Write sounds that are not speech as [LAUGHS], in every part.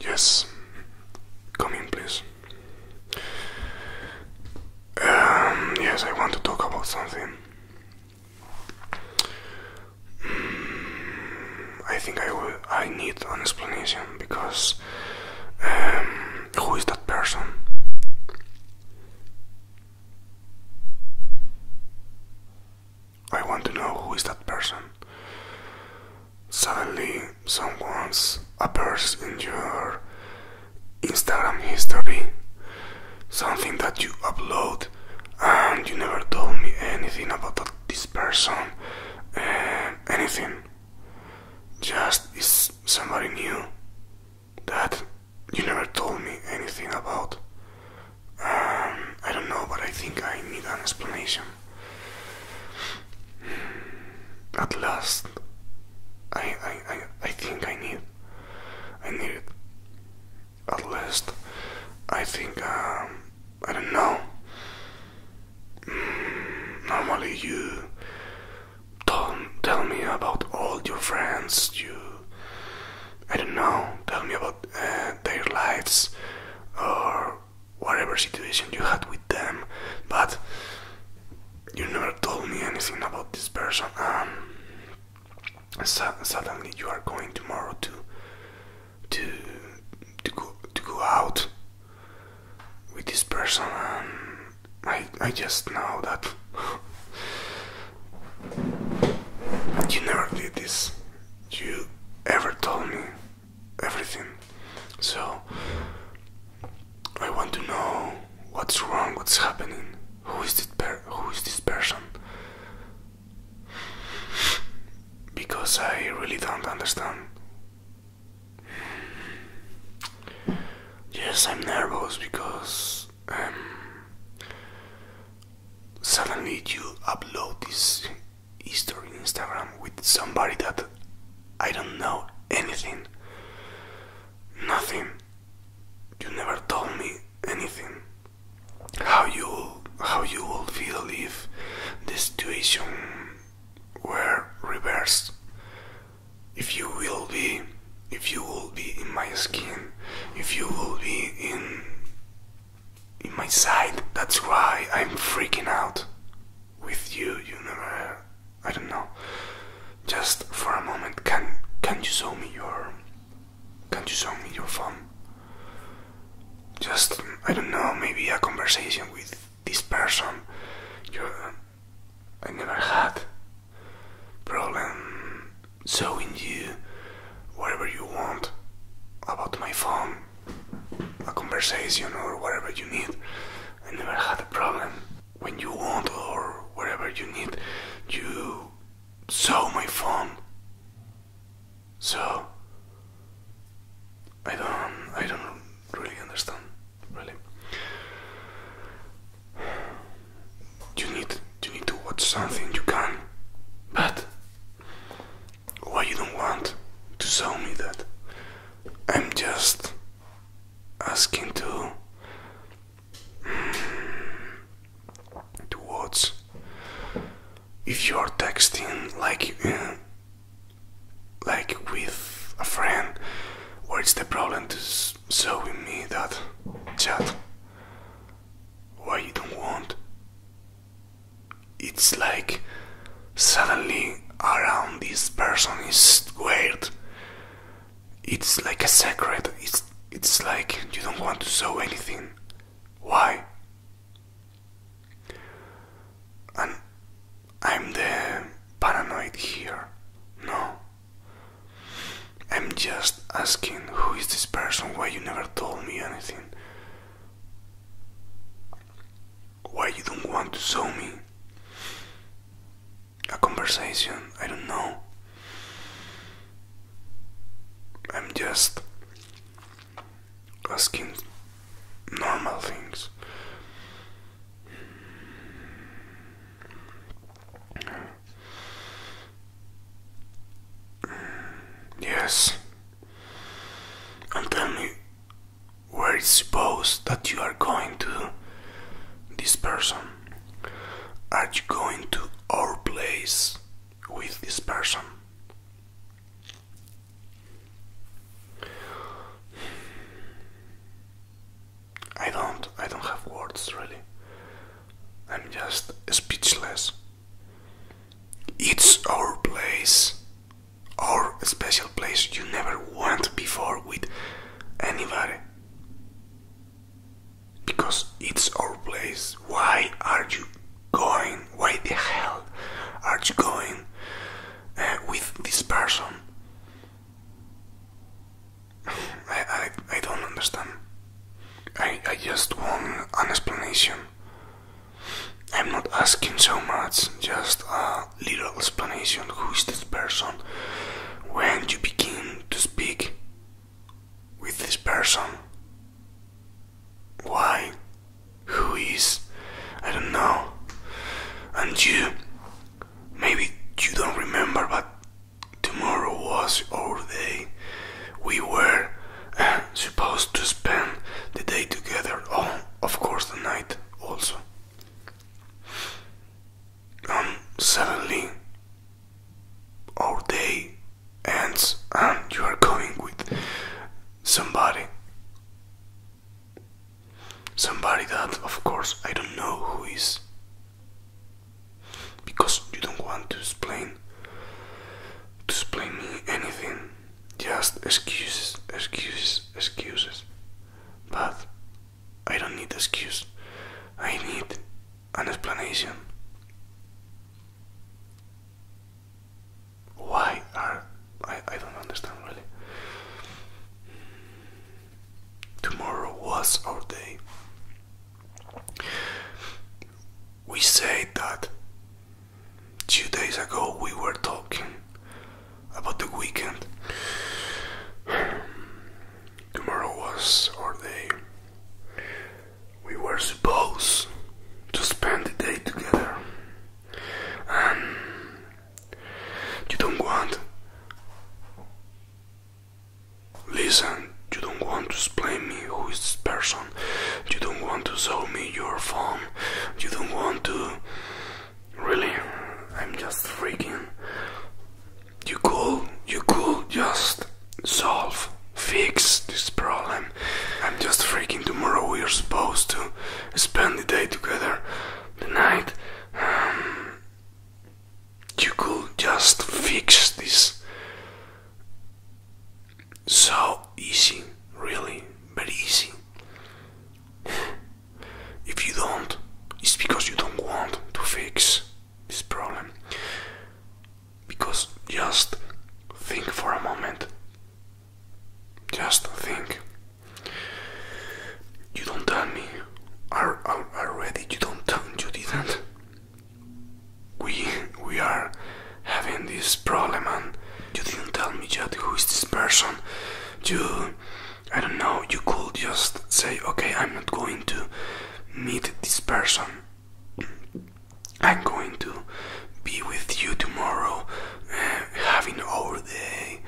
Yes, come in, please. Um, yes, I want to talk about something. I think I will. I need an explanation because um, who is that person? I want to know who is that person. Suddenly, someone's appears in your Instagram history something that you upload and you never told me anything about this person, anything. Just is somebody new that you never told me anything about. Um, I don't know, but I think I need an explanation. At last, I, I, I, I think I need, I need it at least I think um, I don't know mm, normally you don't tell me about all your friends you I don't know tell me about uh, their lives or whatever situation you had with them but you never told me anything about this person um, suddenly you are going tomorrow to to to go to go out with this person and I I just know that you never did this. You ever told me everything. So I want to know what's wrong, what's happening. Who is this who is this person? Because I really don't understand. Yes, I'm nervous because um, suddenly you upload this history on Instagram with somebody that I don't know anything, nothing you never told me anything. How you how you would feel if the situation were reversed? If you will be, if you will be in my skin, if you will be in in my side. That's why I'm freaking out with you. You never, I don't know just for a moment can can you show me your can you show me your phone just i don't know maybe a conversation with this person uh, i never had problem showing you whatever you want about my phone a conversation or whatever you need i never had a problem when you want or wherever you need. You saw my phone. So I don't I don't really understand really. You need you need to watch something you can but why you don't want to show me that? I'm just asking to towards if you're texting like like with a friend where is the problem to show me that chat why you don't want it's like suddenly around this person is weird it's like a secret. It's it's like you don't want to show anything. Why? And I'm the paranoid here. No. I'm just asking who is this person? Why you never told me anything? Why you don't want to show me? a conversation. I don't know. I'm just asking normal things. Yes. And tell me where it's supposed that you are going to this person. Are you going to our place with this person? I don't, I don't have words really. I'm just speechless. It's our place, our special place you never went before with anybody. Because it's our place. Why are you going? Why the hell are you going uh, with this person? [SIGHS] I, I, I don't understand. I, I just want an explanation. I'm not asking so much, just uh, little explanation who is this person. When you begin to speak with this person, why, who is, I don't know, and you, maybe you don't remember, but tomorrow was our day. We were uh, supposed to spend the day together, oh, of course, the night also. Um, suddenly our day ends and you are going with somebody. Somebody that, of course, I don't know who is. Because you don't want to explain to explain me anything. Just excuses, excuses, excuses. But I don't need an excuse. I need an explanation. Why are I, I don't understand really. Tomorrow was our day. We said that two days ago we were talking about the weekend. Tomorrow was our day. We were supposed to spend the day together. Um, you don't want. Listen, you don't want to explain me who is this person. You don't want to show me your phone. You don't want to Really, I'm just freaking. You could, you could just solve, fix this problem. I'm just freaking. Tomorrow we are supposed to spend the day together, the night. Um, you could just fix this. So easy, really, very easy. [LAUGHS] If you don't, it's because you don't want to fix this problem. Because just think for a moment. Just think. You don't tell me. Are, are already you don't you didn't. We we are having this problem and you didn't tell me yet who is this person. You I don't know, you could just say, okay, I'm not going to meet this person. I'm going to be with you tomorrow, uh, having our day.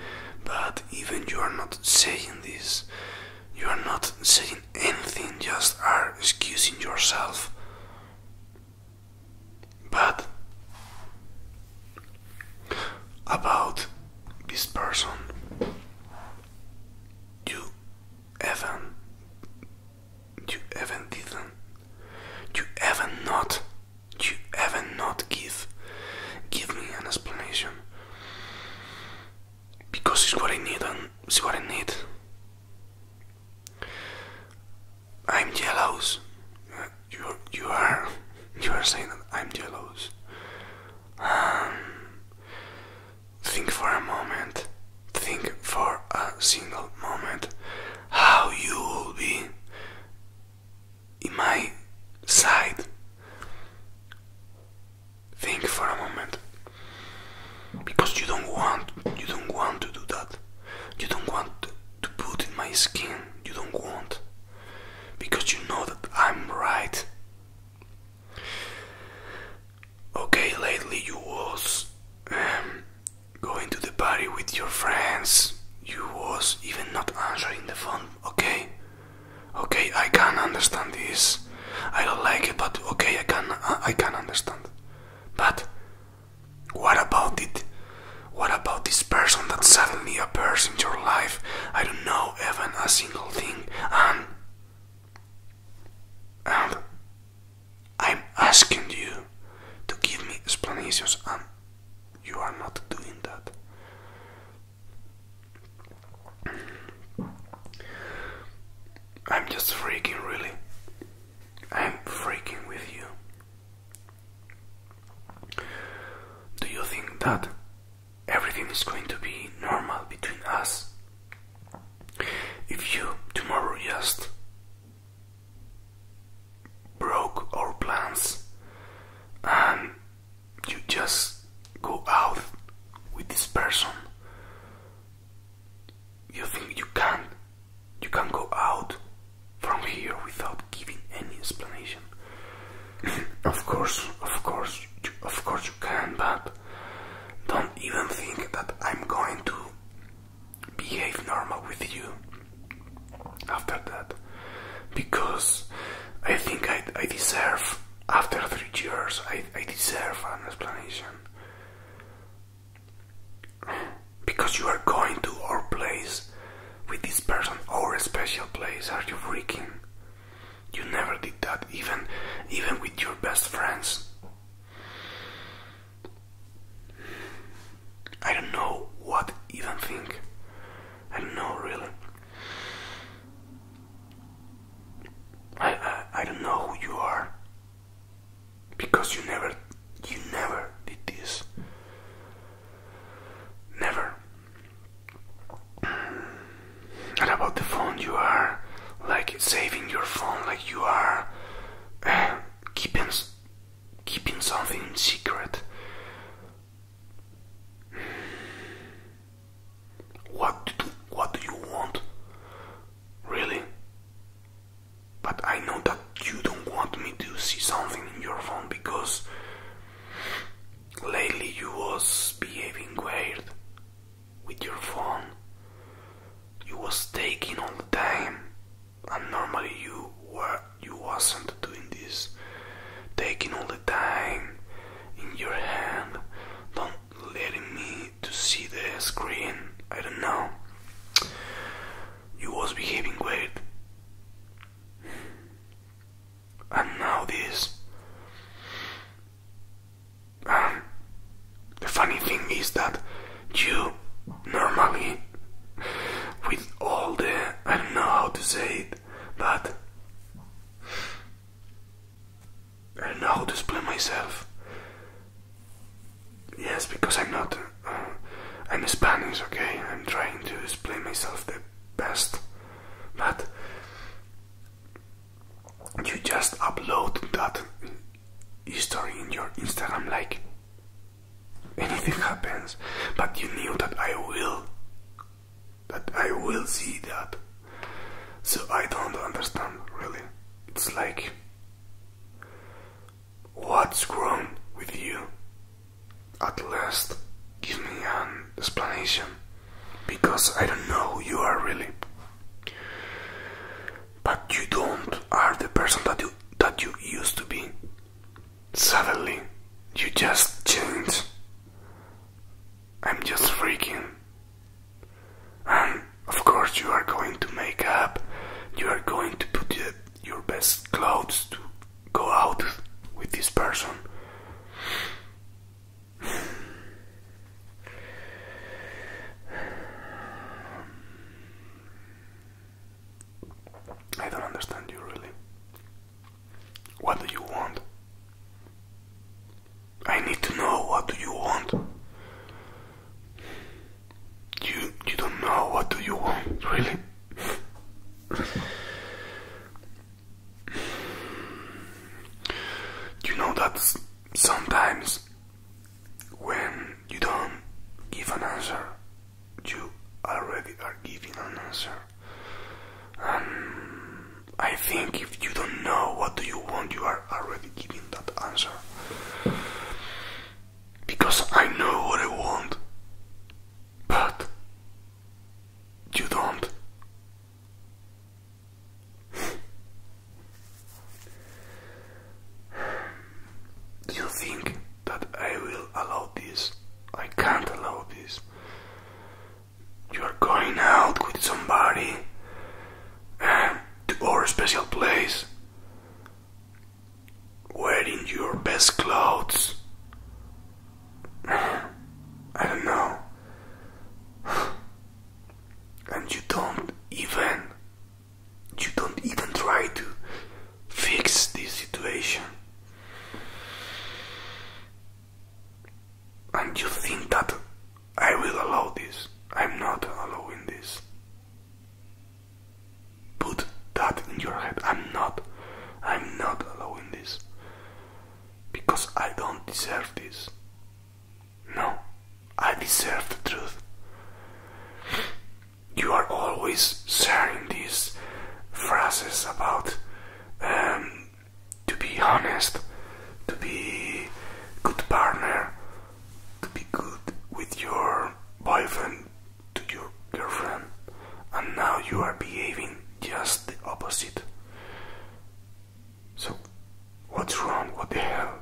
But even you are not saying this, you are not saying anything, just are excusing yourself. But about this person, you even you even didn't you even not you even not give give me an explanation because it's what I need and it's what I need. I'm jealous. You you are you are saying that I'm jealous. Um, think for a moment. Think for a single moment how you will be in my side. Think for a moment. Because you don't want you don't want to do that. You don't want to put in my skin you don't want because you know that I'm right. Okay, lately you was um, going to the party with your friends. You was even not answering the phone. Okay, okay, I can understand this. I don't like it, but okay, I can I can understand. But what about it? What about this person that suddenly appears in your life? I don't know even a single thing. And. And. I'm asking you to give me explanations, and you are not doing that. I'm just freaking, really. I'm freaking with you. Do you think that everything is going to be normal between us? If you tomorrow just broke our plans and you just go out with this person, you think you can you can not go out from here without giving any explanation. [LAUGHS] of course, of course, of course you can, but don't even think that I'm going to behave normal with you after that. Because I think I, I deserve, after three years, I, I deserve an explanation. Because you are going to our place with this person, our special place, are you freaking? You never did that, even even with your best friends. I don't know what even think. I don't know really. I I don't know who you are because you never you never did this never and about the phone you are like saving your phone like you are eh, keeping keeping something secret what do, what do you want really but I know that you don't want me to see something in your phone because lately you was behaving weird with your phone. You was taking all the time and normally you were you wasn't doing this. Taking all the time in your hand, don't letting me to see the screen. I don't know you was behaving great, And now this. Um, the funny thing is that you normally, with all the, I don't know how to say it, but I don't know how to explain myself. Yes, because I'm not. Uh, I'm Spanish, okay? I'm trying to explain myself the best. But you just upload that history in your Instagram, like anything happens. But you knew that I will. That I will see that. So I don't understand, really. It's like. What's wrong with you? At last, give me an explanation, because I don't know who you are really. But you don't are the person that you that you used to be. Suddenly, you just changed. I'm just freaking. And um, of course, you are going to make up, you are going to put your best clothes to go out with this person. I don't understand you really. What do you want? I need to know what do you want you you don't know what do you want really you know that sometimes when you don't give an answer you already are giving an answer I think if you don't know what do you want you are already giving that answer. Because I know what I want, but you don't. [LAUGHS] you think that I will allow this? I can't allow this. You are going out with somebody uh, [SIGHS] to our special place, wearing your best clothes. [SIGHS] I don't know. [SIGHS] And you don't even, you don't even try to fix this situation. And you think that I will allow this. I'm not allowing this. Put that in your head. I'm not. I'm not allowing this. Because I don't deserve this. No. I deserve the truth. You are always sharing these phrases about um, to be honest, to be good partner, to be good with your boyfriend to your girlfriend, and now you are behaving just the opposite. So, what's wrong? What the hell?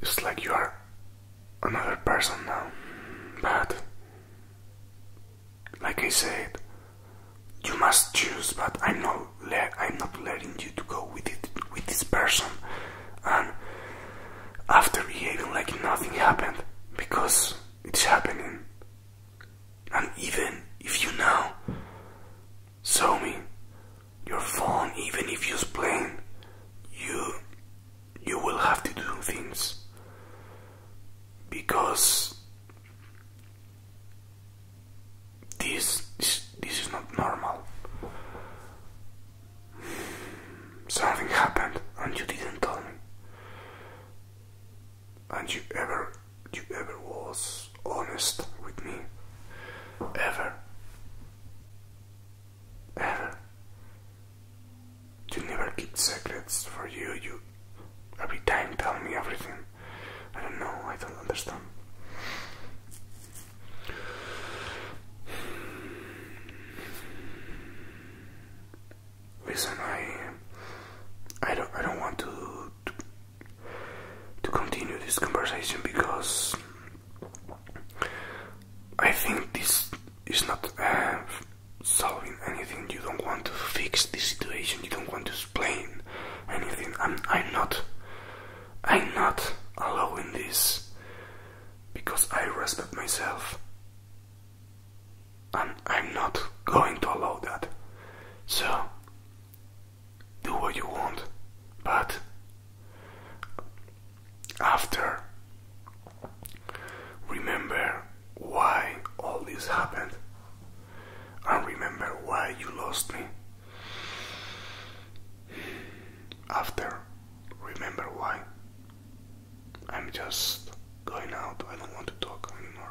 It's like you are another person now, but like I said, you must choose, but I'm not letting you to go with this person and after behaving like nothing happened because it's happening and even if you now saw me your phone even if you explain, you you will have to do things because this, this, this is not normal. Something happened and you didn't tell me. And you ever, you ever was honest with me. Ever. Ever. You never kept secrets for you, you every time tell me everything. I don't know, I don't understand. Listen, I, I don't, I don't want to, to, continue this conversation because I think this is not uh, solving anything. You don't want to fix the situation. You don't want to explain anything. I'm, I'm not, I'm not allowing this because I respect myself, and I'm not going to allow that. So do what you want, but after remember why all this happened and remember why you lost me. After, remember why. I'm just going out, I don't want to talk anymore.